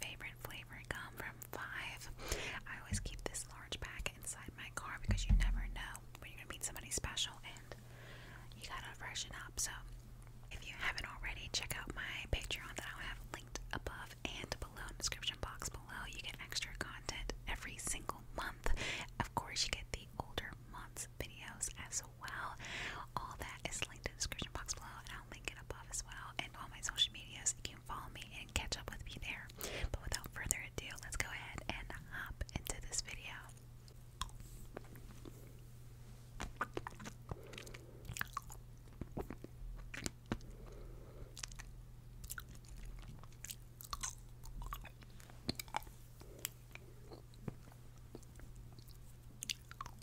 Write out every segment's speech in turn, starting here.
favorite flavor gum from Five. I always keep this large pack inside my car because you never know when you're gonna meet somebody special and you gotta freshen up. So if you haven't already, check out my Patreon that i have linked above and below in the description box below. You get extra content every single month. Of course, you get the older months videos as well. All that is linked in the description box below, link it above as well and all my social medias. You can follow me and catch up with me there. But without further ado, let's go ahead and hop into this video.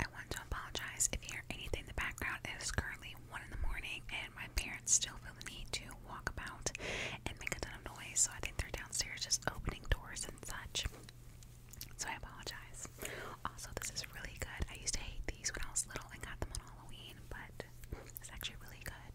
I want to apologize if you hear anything in the background. It is currently 1 in the morning, and my parents still feel the need to walk about and make a ton of noise, so I think they're downstairs just opening doors and such. So I apologize. Also, this is really good. I used to hate these when I was little and got them on Halloween, but it's actually really good.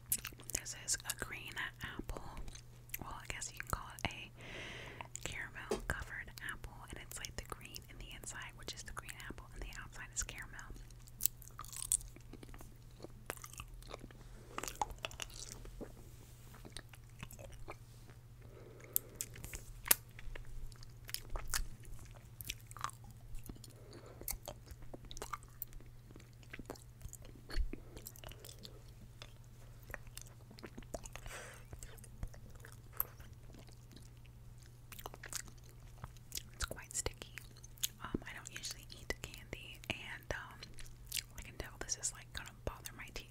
This is a green apple. Well, I guess you can call it a caramel covered apple, and it's like the green in the inside, which is the green apple, and the outside is caramel. It's quite sticky. Um, I don't usually eat candy, and um, I can tell this is like gonna bother my teeth.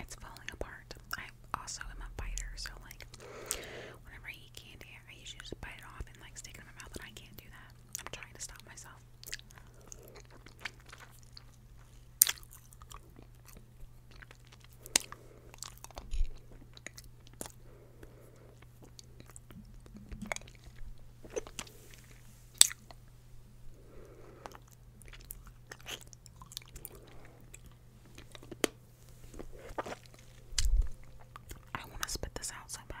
It's falling apart. I also am a biter, so like whenever I eat candy, I usually just bite it off and like stick it in my mouth, and I can't do that. I'm trying to stop myself. I want to spit this out so bad.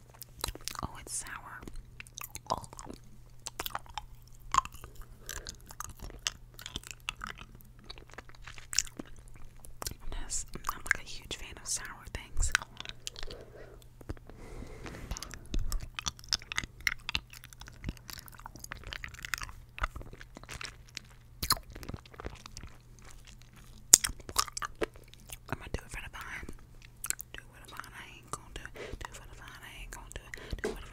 Oh, it's sour. Oh. I'm, like a huge fan of sour things. I'm gonna do it for the vine. Do for the fine, I ain't gonna do it. Do for the fine, I ain't gonna do it. Do for the fine.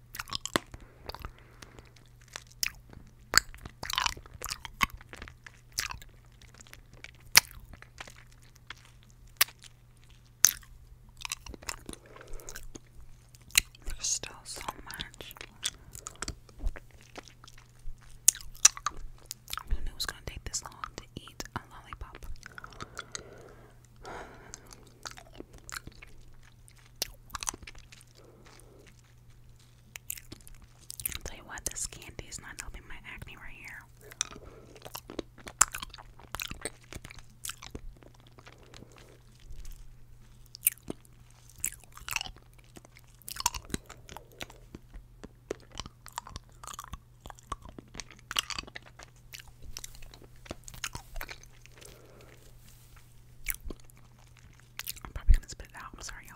There's still so much. Who knew it gonna take this long to eat a lollipop? I'll tell you what, this candy is not helping my acne right here. I'm probably gonna spit it out. I'm sorry, y'all.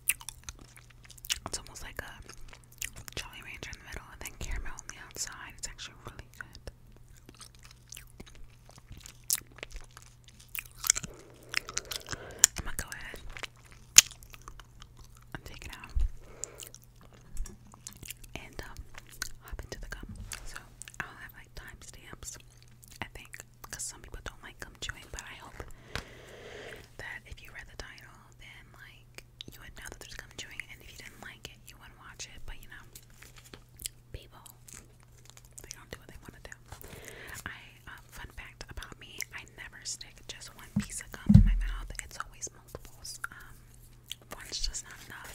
It's almost like a Jolly Rancher in the middle and then caramel on the outside. It's actually really good. I'm gonna go ahead and take it out and um, hop into the gum. So I'll have like timestamps, I think, because some people don't like gum chewing, but I hope that if you read the title, then like you would know that there's gum chewing, and if you didn't like it, you wouldn't watch it. But you know, people they don't do what they want to do. I um, fun fact about me: I never stick just one piece of gum in my mouth. It's always multiples. Um, one's just not enough.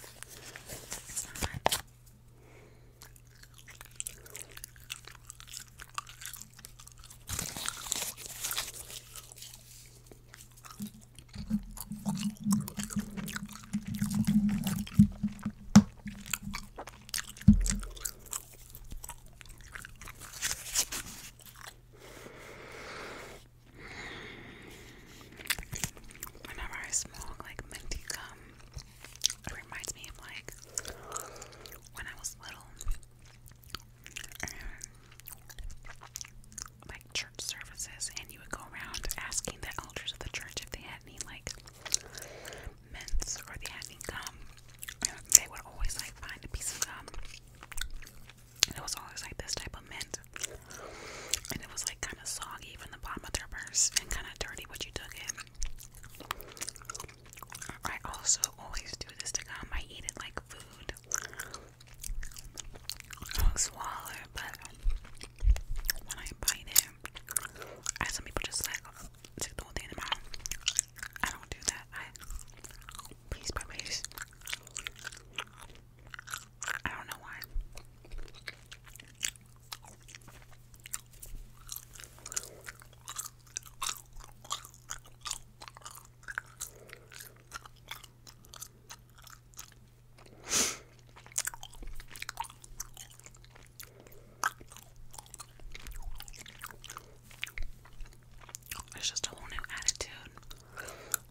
Whenever I smoke like minty gum, it reminds me of like when I was little and um, like church services, and you would go around asking the elders of the church if they had any like mints or they had any gum. And they would always like find a piece of gum. It was always like this type of mint, and it was like kind of soggy from the bottom of their purse and kind of dirty when you took it. I also always do this to gum. I eat it like food. I swallow but when I bite it, some people just like stick the whole thing in their mouth. I don't do that. I piece by I don't know why. It's just a whole new attitude.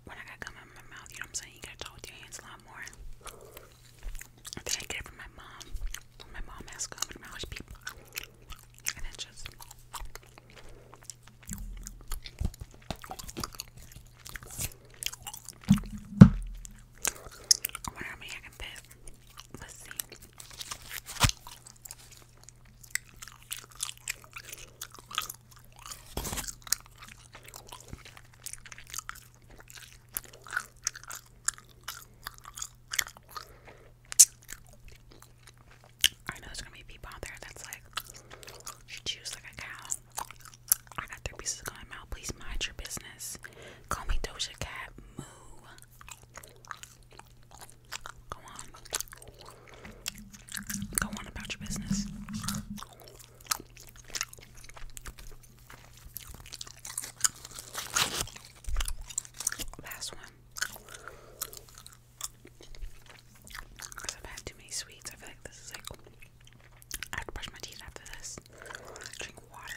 When I got gum in my mouth, you know what I'm saying? You gotta talk with your hands a lot more. I think I get it from my mom. My mom has common knowledge people. And it just I wonder how many I can fit. Let's see. I know it's gonna be people out there that's like, she chews like a cow. I got three pieces of in my mouth. Please mind your business. Call me Doja Cat. Moo. Go on. Go on about your business. Last one. Because I've had too many sweets, I feel like this is like. I have to brush my teeth after this. Drink water.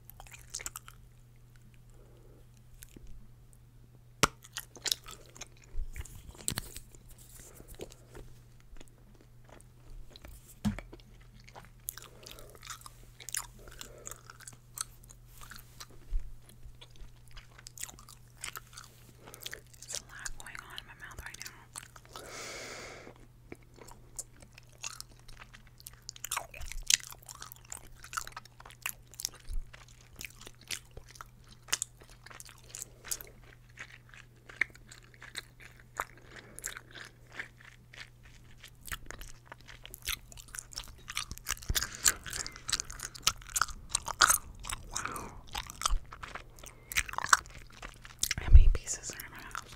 There's a lot going on in my mouth right now. How many pieces are in my house?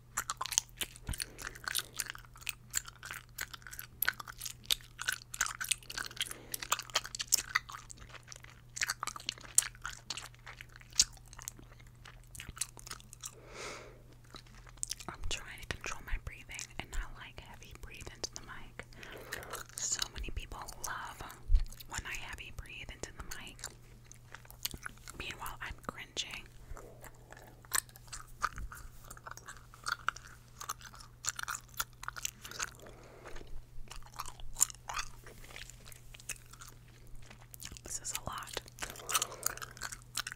I'm trying to control my breathing and not like heavy breathe into the mic. So many people love when I heavy breathe into the mic. Meanwhile, I'm cringing. This is a lot.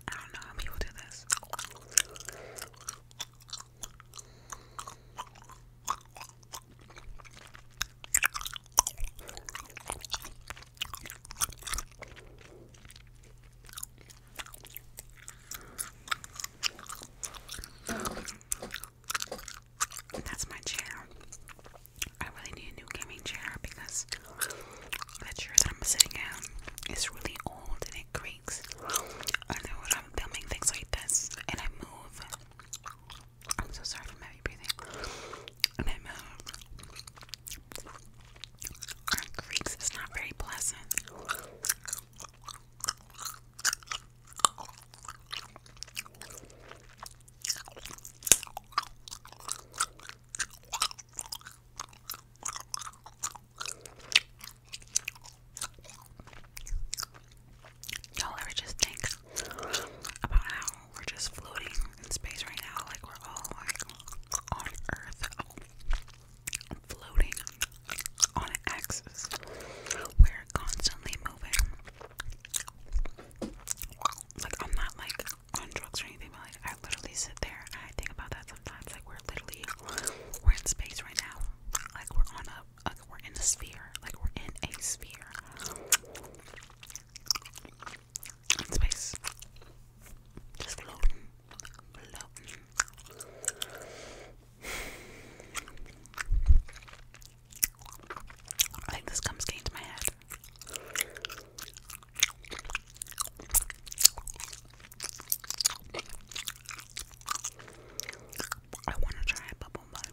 I don't know how people do this. That's my chair. I really need a new gaming chair because the chair that I'm sitting in is really old and it creaks. I know when I'm filming things like this and I move. I'm so sorry for my breathing and moves. Uh, it creaks, it's not very pleasant. Y'all ever just think about how we're just floating in space right now, like we're all like on Earth, floating on an axis. We're constantly moving. Like I'm not like on drugs or anything, but like I literally sit there and I think about that sometimes. Like we're literally we're in space right now. Like we're on a we're in a sphere. Like we're in a sphere space. Just floating, I think this comes getting my head. I want to try a bubble butt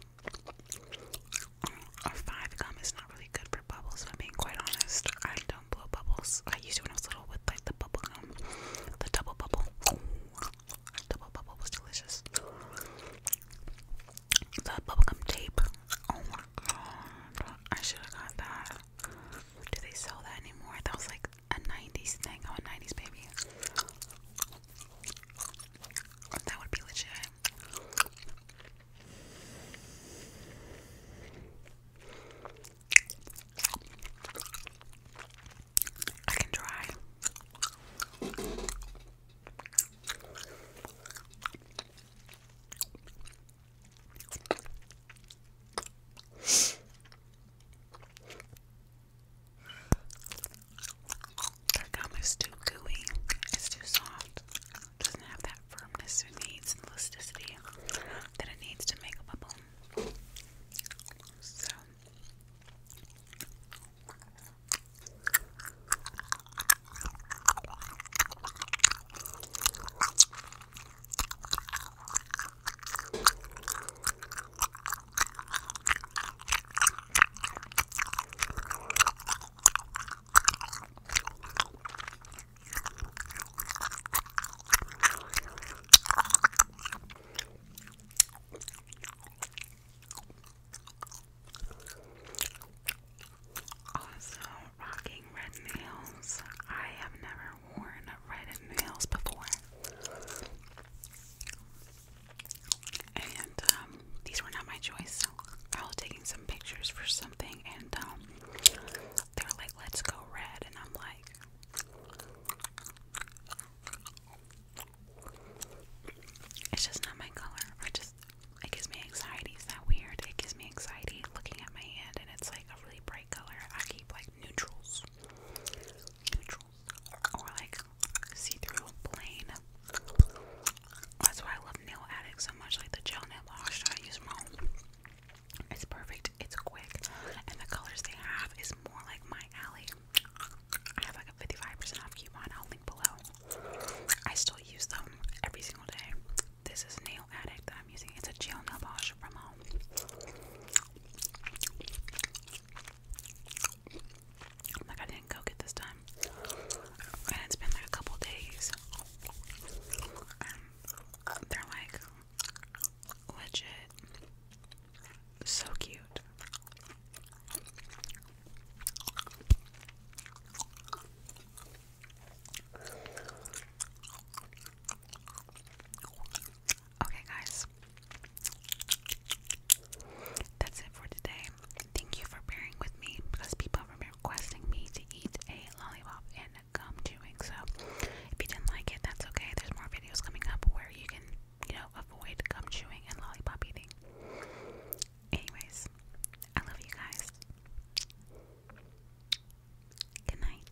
five gum is not really good for bubbles, I'm being quite honest. I don't blow bubbles. I used to when I was little with like the bubble gum. The double bubble. Double bubble was delicious. The bubblegum tape. Oh my god. I should have got that. Do they sell that anymore? That was like a 90s thing. Oh, a 90s baby. That would be legit. I can try. That gum is too gooey. It's too soft doesn't have that firmness it needs and elasticity that it needs to make a bubble. Also, rocking red nails. I have never worn red nails before. And um, these were not my choice. I was taking some pictures for something, and um, they're like, "Let's go red," and I'm like. It's just not my color. I just it gives me anxiety. Is that weird? It gives me anxiety looking at my hand and it's like a really bright color. I keep like neutrals. Neutrals. Or like see through plain. That's why I love nail addicts so much. Like the gel nail Wash, I use from home. It's perfect, it's quick, and the colors they have is more like my alley. I have like a 55% off coupon, I'll link below. I still use them every single day. This is Nail Addict that I'm using. It's a gel nail Wash from home. Like I didn't cook it this time, and it's been like a couple days. they're like legit, so cute. Okay, guys, that's it for today thank you for bearing with me because people have been requesting me to eat a lollipop and gum chewing. So if you didn't like it, that's okay. There's more videos coming up where you can, you know, avoid gum chewing and lollipop eating. Anyways, I love you guys. Good night.